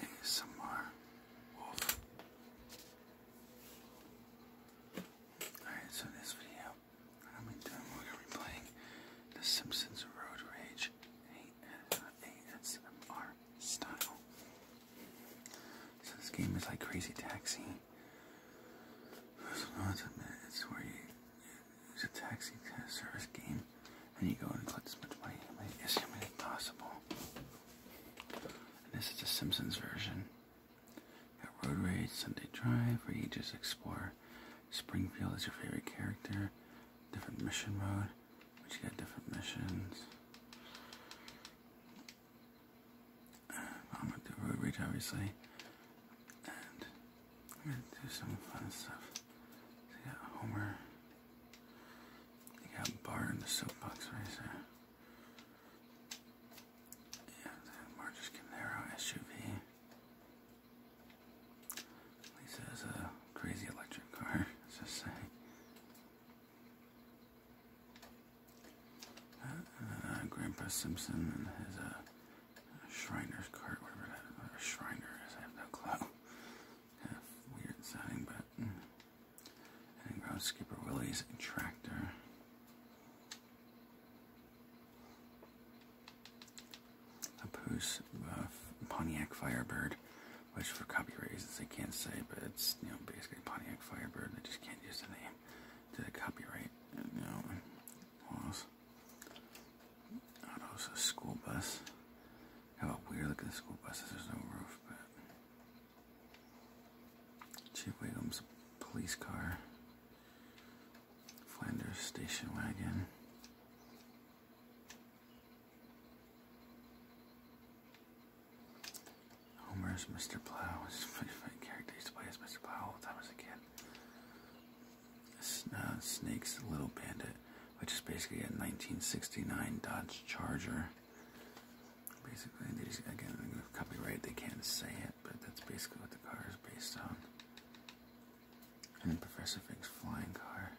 ASMR Wolf. Alright, so this video, I'm going to be playing The Simpsons Road Rage ASMR style. So this game is like Crazy Taxi. It's where you, it's a taxi service game and you go and collect as much money as humanly possible. this is the Simpsons version. Got Road Rage, Sunday Drive, where you just explore Springfield as your favorite character. Different mission mode, which you got different missions. I'm gonna do Road Rage, obviously. And I'm gonna do some fun stuff. So you Homer they got bar in the soapbox right there. Yeah, the Marcus Camaro SUV. Lisa is a crazy electric car, as I say. Uh, uh, Grandpa Simpson and his uh, cart, whatever that whatever uh, is, I have no clue. Kind of weird sounding, but. Hmm. And ground skipper Willie's tractor. A Poos uh, Pontiac Firebird, which for copyright reasons I can't say, but it's you know basically Pontiac Firebird. I just can't use the name to the copyright. You know, laws. Oh, it's a school bus. How about at the school buses? There's no roof, but. Chief Wiggum's police car. Flanders station wagon. Homer's Mr. Plow. It's my favorite character. He used to play as Mr. Plow all the time as a kid. Uh, Snake's Little Bandit, which is basically a 1969 Dodge Charger. Basically, again, copyright, they can't say it, but that's basically what the car is based on. And then Professor Fig's flying car.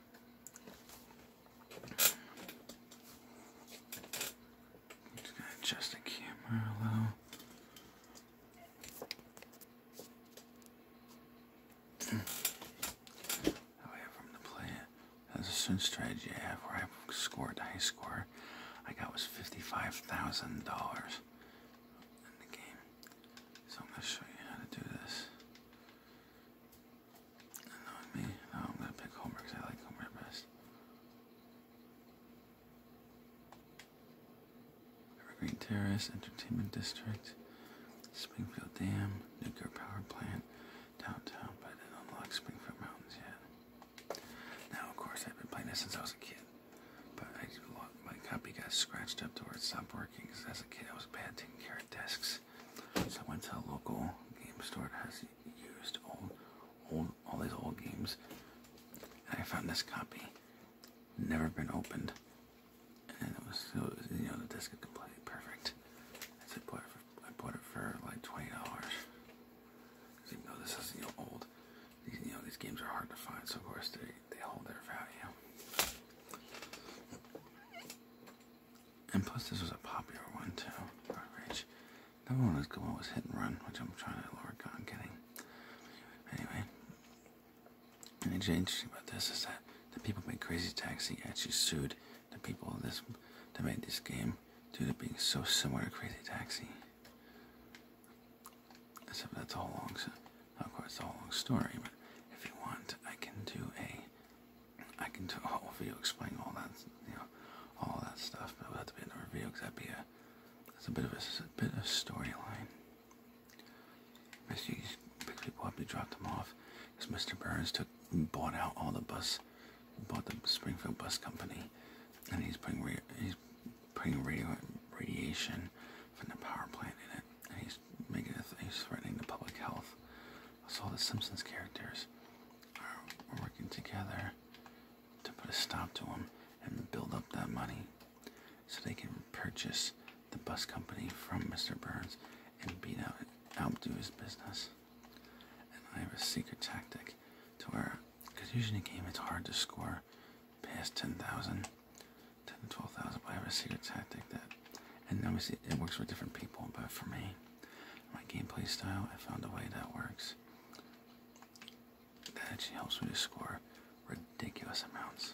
just adjust the camera a little. However, oh, from the play as a certain strategy I have where I scored the high score I got was $55,000 in the game. So I'm going to show you how to do this. me, I'm going to pick Homer I like Homer best. Evergreen Terrace, Entertainment District. Springfield Dam, nuclear power plant, downtown, but I didn't unlock Springfield Mountains yet. Now, of course, I've been playing this since I was a kid, but my copy got scratched up to where it stopped working because as a kid I was bad taking care of desks. So I went to a local game store that has used old, old, all these old games, and I found this copy, never been opened and it was, you know the disc is completely perfect. I bought I bought it for like twenty dollars. Even though this is you old, you know these games are hard to find, so of course they they hold their value. And plus, this was a popular one too. Another one was going was Hit and Run, which I'm trying to lower on getting. Anyway, and it's interesting about this is that the people made Crazy Taxi actually sued the people this that made this game due to being so similar to Crazy Taxi. Except that's a whole long, of course, a whole long story. But if you want, I can do a, I can do a whole video explaining all that, you know, all that stuff. But it would have to be in the review because that'd be a, that's a bit of a bit of storyline. Mr. quickly quietly dropped them off as Mr. Burns took bought out all the bus, bought the Springfield Bus Company, and he's putting he's putting radio radiation from the power plant in it, and he's making he's threatening the public health. So all the Simpsons characters are working together to put a stop to him and build up that money so they can purchase the bus company from Mr. Burns and beat out outdo his business. And I have a secret tactic to where, because usually in a game it's hard to score past 10,000, 10 to 12,000, but I have a secret tactic that, and obviously it works for different people, but for me, my gameplay style, I found a way that works. That actually helps me to score ridiculous amounts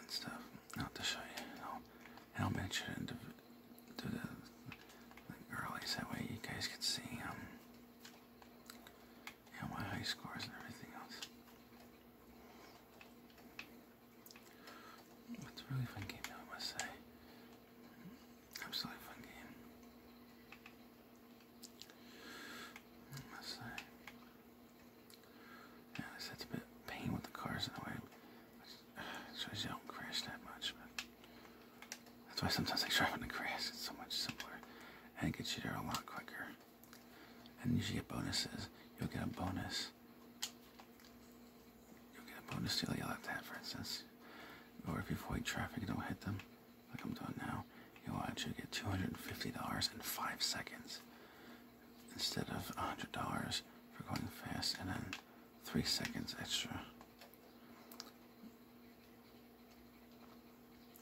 and stuff. Not to show you how, how I managed to do, do the, the girlies. That way you guys can see um, how my high scores and everything else. It's a really fun game, though, I must say. Absolutely fun game yeah, that's a bit pain with the cars in the way. It you don't crash that much, but that's why sometimes I drive in a crash. It's so much simpler, and it gets you there a lot quicker. And usually get bonuses. You'll get a bonus. You'll get a bonus to yell left that, for instance. Or if you avoid traffic, you don't hit them. Like I'm done now. You'll actually get $250 in five seconds instead of $100 for going fast and then three seconds extra.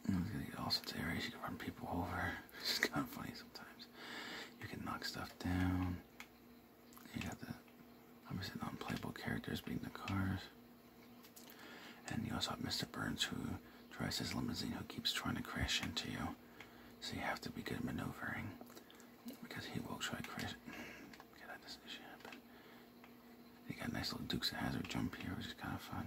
i get all sorts of areas you can run people over. It's kind of funny sometimes. You can knock stuff down. You got the obviously non-playable characters being the cars. And you also have Mr. Burns, who drives his limousine, who keeps trying to crash into you. So you have to be good at maneuvering, because he will try to crash. Get out this issue happen. You got a nice little Dukes of Hazard jump here, which is kind of fun.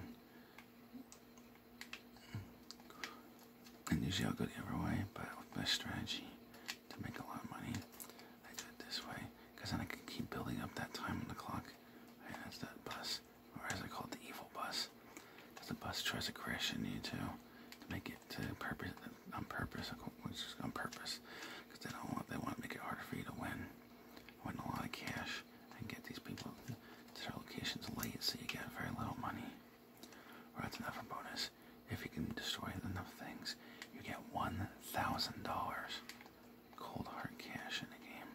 And usually I'll go the other way, but with my strategy to make a lot of money, I do it this way, because then I can keep building up that time on the clock that's that bus. Or as I call it, the evil bus. Because the bus tries to crash into you too. To make it to purpose, on purpose, It's just on purpose. Because they don't want, they want to make it harder for you to win. Win a lot of cash and get these people to their locations late so you get very little money. Or that's another bonus. If you can destroy enough things, you get $1,000 cold hard cash in the game.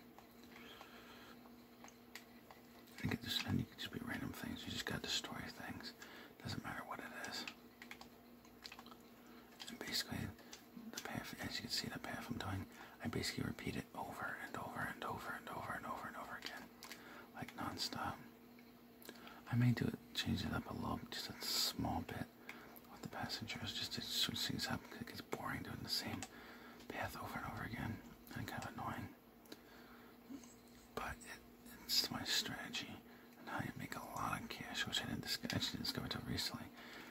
You get this, and you can just be random things. You just got to destroy things. Doesn't matter what it is. And basically, the path, as you can see, the path I'm doing, I basically repeat it over and over and over and over and over and over again, like nonstop. I may do it, change it up a little, just a small bit, with the passengers. Just it seems how it gets boring doing the same path over and over again and kind of annoying. But it's my strategy and how you make a lot of cash, which I didn't discover, actually discover until recently.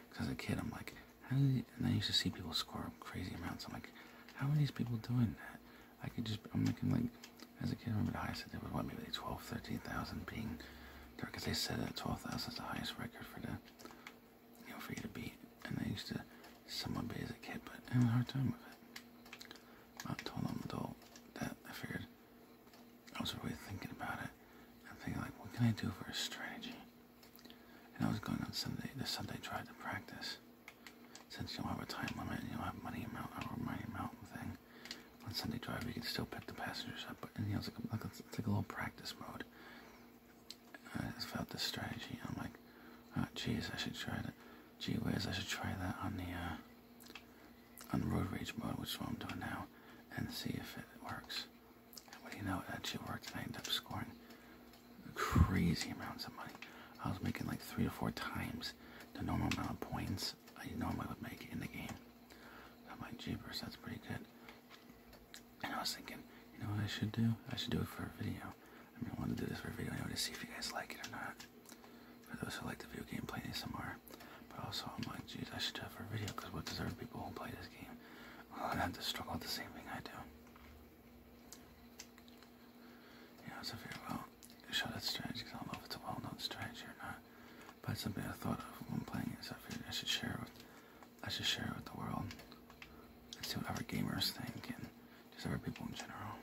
Because as a kid, I'm like, how do and I used to see people score crazy amounts. I'm like, how are these people doing that? I could just, I'm making like, as a kid, remember the highest I did was what, maybe like 13,000 being there, because they said that 12,000 is the highest record for that you know, for to beat. And I used to somewhat be as a kid, but I had a hard time with it. I told them adult that I figured I was really thinking about it. I'm thinking like, what can I do for a strategy? And I was going on Sunday, The Sunday drive to practice. Since you don't have a time limit and you don't have money amount or money amount thing, on Sunday drive you can still pick the passengers up. But and you know, like, a, it's like a little practice mode. I just felt this strategy. I'm like, oh, geez, I should try that. Gee whiz, I should try that on the uh, on road rage mode, which is what I'm doing now, and see if it works. And what do you know? It actually worked, and I end up scoring crazy amounts of money. I was making like three to four times the normal amount of points I normally would make in the game. I'm like, that's pretty good. And I was thinking, you know what I should do? I should do it for a video. I mean, I want to do this for a video. I wanted to see if you guys like it or not. For those who like the video game, play ASMR. But also, I'm like, jeez, I should do it for a video because what deserve people who play this game? Well, I have to struggle with the same thing I do. Yeah, so I figured, well, show that strange? because I don't know if it's a well-known strategy or not but it's something I thought of when playing it, so I figured I should share it with, I should share it with the world. And see what other gamers think and just other people in general.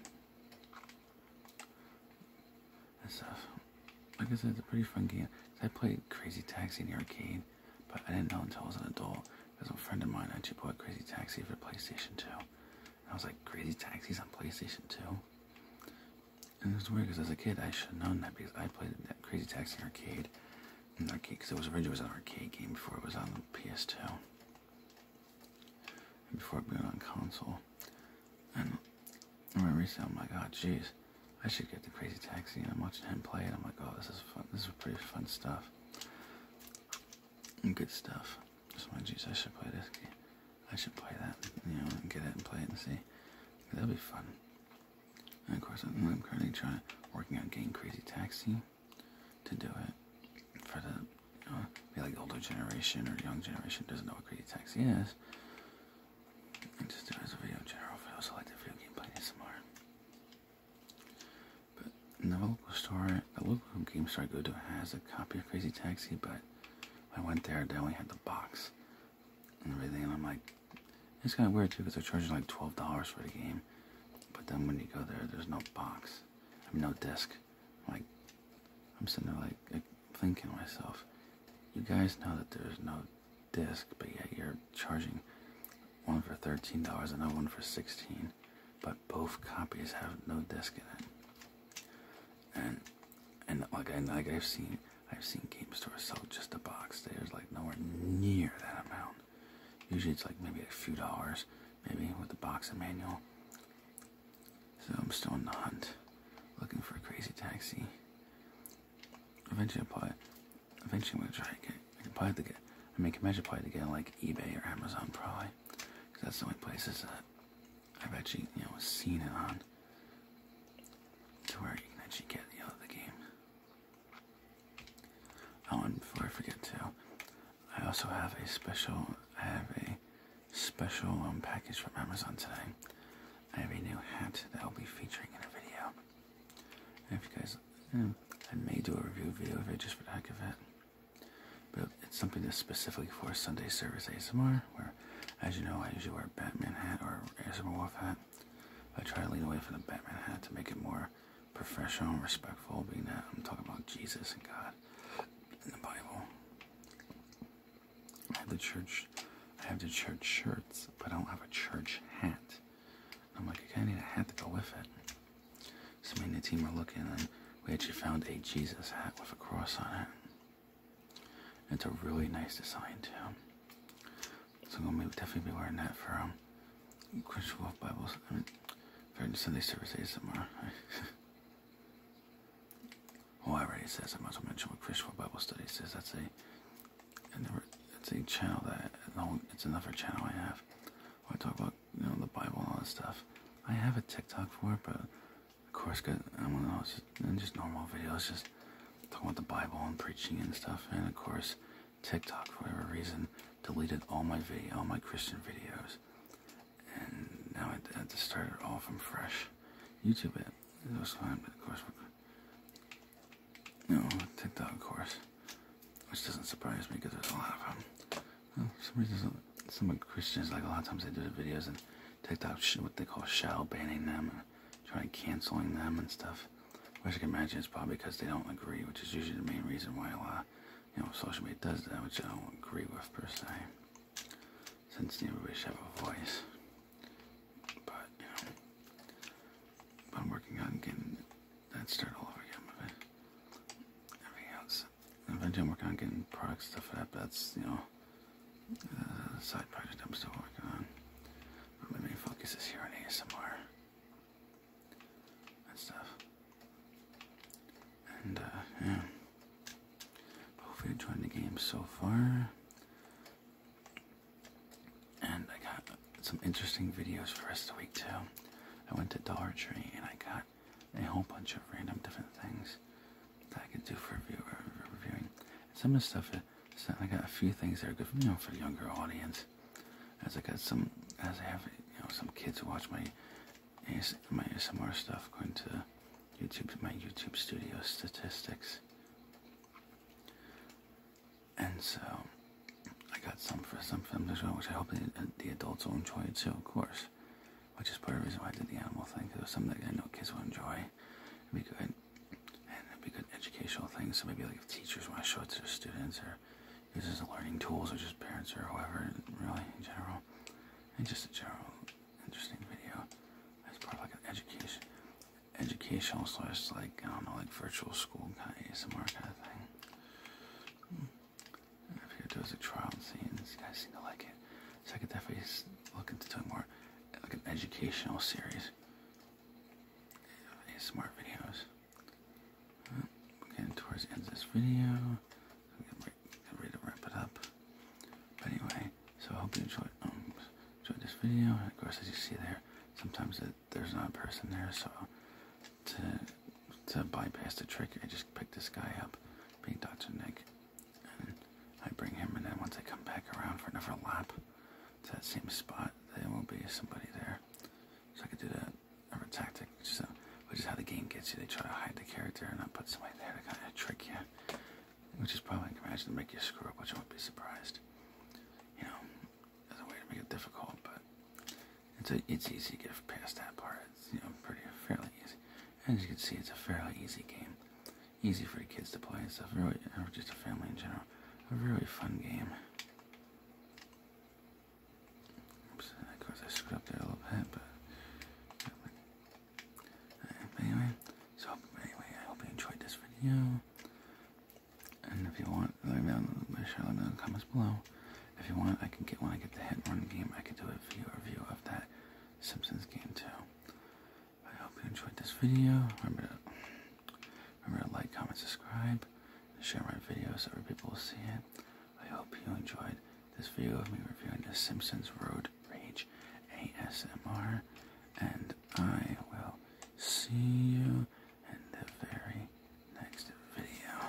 And stuff. Like I said, it's a pretty fun game. I played Crazy Taxi in the arcade, but I didn't know until I was an adult. Because a friend of mine actually bought Crazy Taxi for PlayStation 2. And I was like, Crazy Taxis on PlayStation 2? It was weird because as a kid, I should have known that because I played Crazy Taxi arcade. In arcade, because it was originally an arcade game before it was on the PS2. before it being on console. And I remember recently, I'm like, oh, jeez, I should get the Crazy Taxi. And I'm watching him play it. I'm like, oh, this is fun. This is pretty fun stuff. And good stuff. So, my geez, I should play this game. I should play that, you know, and get it and play it and see. that will be fun. And of course, I'm currently trying working on getting Crazy Taxi to do it for the be like older generation or young generation doesn't know what Crazy Taxi is. just do it as a video in general. I also like the video gameplay more. But in the local store, the local game store I go to has a copy of Crazy Taxi, but I went there, they only had the box and everything. And I'm like, it's kind of weird too because they're charging like twelve dollars for the game, but then when you go there, there's no box, I mean, no disc. I'm like, I'm sitting there like, like thinking to myself, you guys know that there's no disc, but yet you're charging one for thirteen dollars and another one for sixteen, but both copies have no disc in it. And and like I have seen I've seen game stores sell just a box. There's like nowhere near that amount. Usually it's like maybe a few dollars, maybe with the box and manual. So I'm still on the hunt, looking for a crazy taxi. Eventually, I'll probably, eventually I'm gonna try to get. I can probably get. I mean, I can imagine probably to get like eBay or Amazon probably, because that's the only places that I've actually you know seen it on to where you can actually get the, other uh, game. Oh, and before I forget too, I also have a special. I have a special um, package from Amazon today. I have a new hat that I'll be featuring in a video. And if you guys, hmm, I may do a review video of it just for the heck of it. But it's something that's specifically for Sunday Service ASMR, where as you know, I usually wear a Batman hat or a Wolf hat. I try to lean away from the Batman hat to make it more professional and respectful, being that I'm talking about Jesus and God in the Bible. I have the church, I have the church shirts, but I don't have a church hat. I'm like, I kind of need a hat to go with it. So me and the team were looking, and we actually found a Jesus hat with a cross on it. It's a really nice design too. So I'm gonna definitely be wearing that for um, Christian Wolf Bible. I for Sunday service ASMR. well, I already says I might mention what Christian Wolf Bible Study says. That's a, it's a channel that it's another channel I have. I talk about you know the Bible and all that stuff. I have a TikTok for it, but of course, cause I'm one of those just normal videos, just talking about the Bible and preaching and stuff. And of course, TikTok for whatever reason deleted all my video, all my Christian videos, and now I had to start it all from fresh. YouTube it, was fine, but of course, no TikTok, of course, which doesn't surprise me because there's a lot of them. Well, some reason, some Christians like a lot of times they do the videos and take out what they call shadow banning them and try canceling them and stuff. Which you can imagine it's probably because they don't agree, which is usually the main reason why a you know, social media does that, which I don't agree with per se. Since everybody should have a voice. But, you know, I'm working on getting that started all over again But it. Everything else. Eventually I'm working on getting product stuff up, that's, you know, uh, side project I'm still working on. My main focus is here on ASMR and stuff. And, uh, yeah. Hopefully, enjoying the game so far. And I got some interesting videos for the rest of the week, too. I went to Dollar Tree and I got a whole bunch of random different things that I could do for a review, uh, reviewing. Some of the stuff, uh, so I got a few things that are good, for, you know, for a younger audience. As I got some, as I have, you know, some kids who watch my my ASMR stuff going to YouTube, my YouTube studio statistics. And so, I got some for some films as well, which I hope the, uh, the adults will enjoy it too, of course which is part of the reason why I did the animal thing, because it was something that I know kids would enjoy. It'd be good, and it'd be good educational thing. So maybe like if teachers want to show it to their students, or use it as a learning tools, or just parents, or whoever, really in general, and just a general interesting video as part of like an education, educational slash like I don't know, like virtual school kind of ASMR kind of thing. Mm. I figured there was a trial and see, and these guys seem to like it. So I could definitely look into doing more like an educational series. Smart videos. Well, towards the end of this video. get ready to wrap it up. But anyway, so I hope you enjoyed, um, enjoyed this video. of course, as you see there, sometimes there's not a person there, so to to bypass the trick, I just picked this guy up, being Dr. Nick. And I bring him, and then once I come back around for another lap to that same spot, there will be somebody there. So I could do that other tactic, which is how the game gets you. They try to hide the character and not put somebody there to kind of trick you, which is probably, I can imagine, to make you screw up, which I won't be surprised. You know, there's a way to make it difficult, but it's, it's easy to get past that part. It's, you know, pretty fairly easy. As you can see, it's a fairly easy game. Easy for kids to play and stuff, really, or just a family in general. A really fun game. of course I screwed up there a little bit, but... anyway, so anyway, I hope you enjoyed this video. And if you want, let me know, in the comments below. If you want, I can get when I get the hit run game, I could do a review of that. Simpsons game too. I hope you enjoyed this video. Remember to, remember to like, comment, subscribe, share my video so other people will see it. I hope you enjoyed this video of me reviewing the Simpsons Road Rage ASMR, and I will see you in the very next video.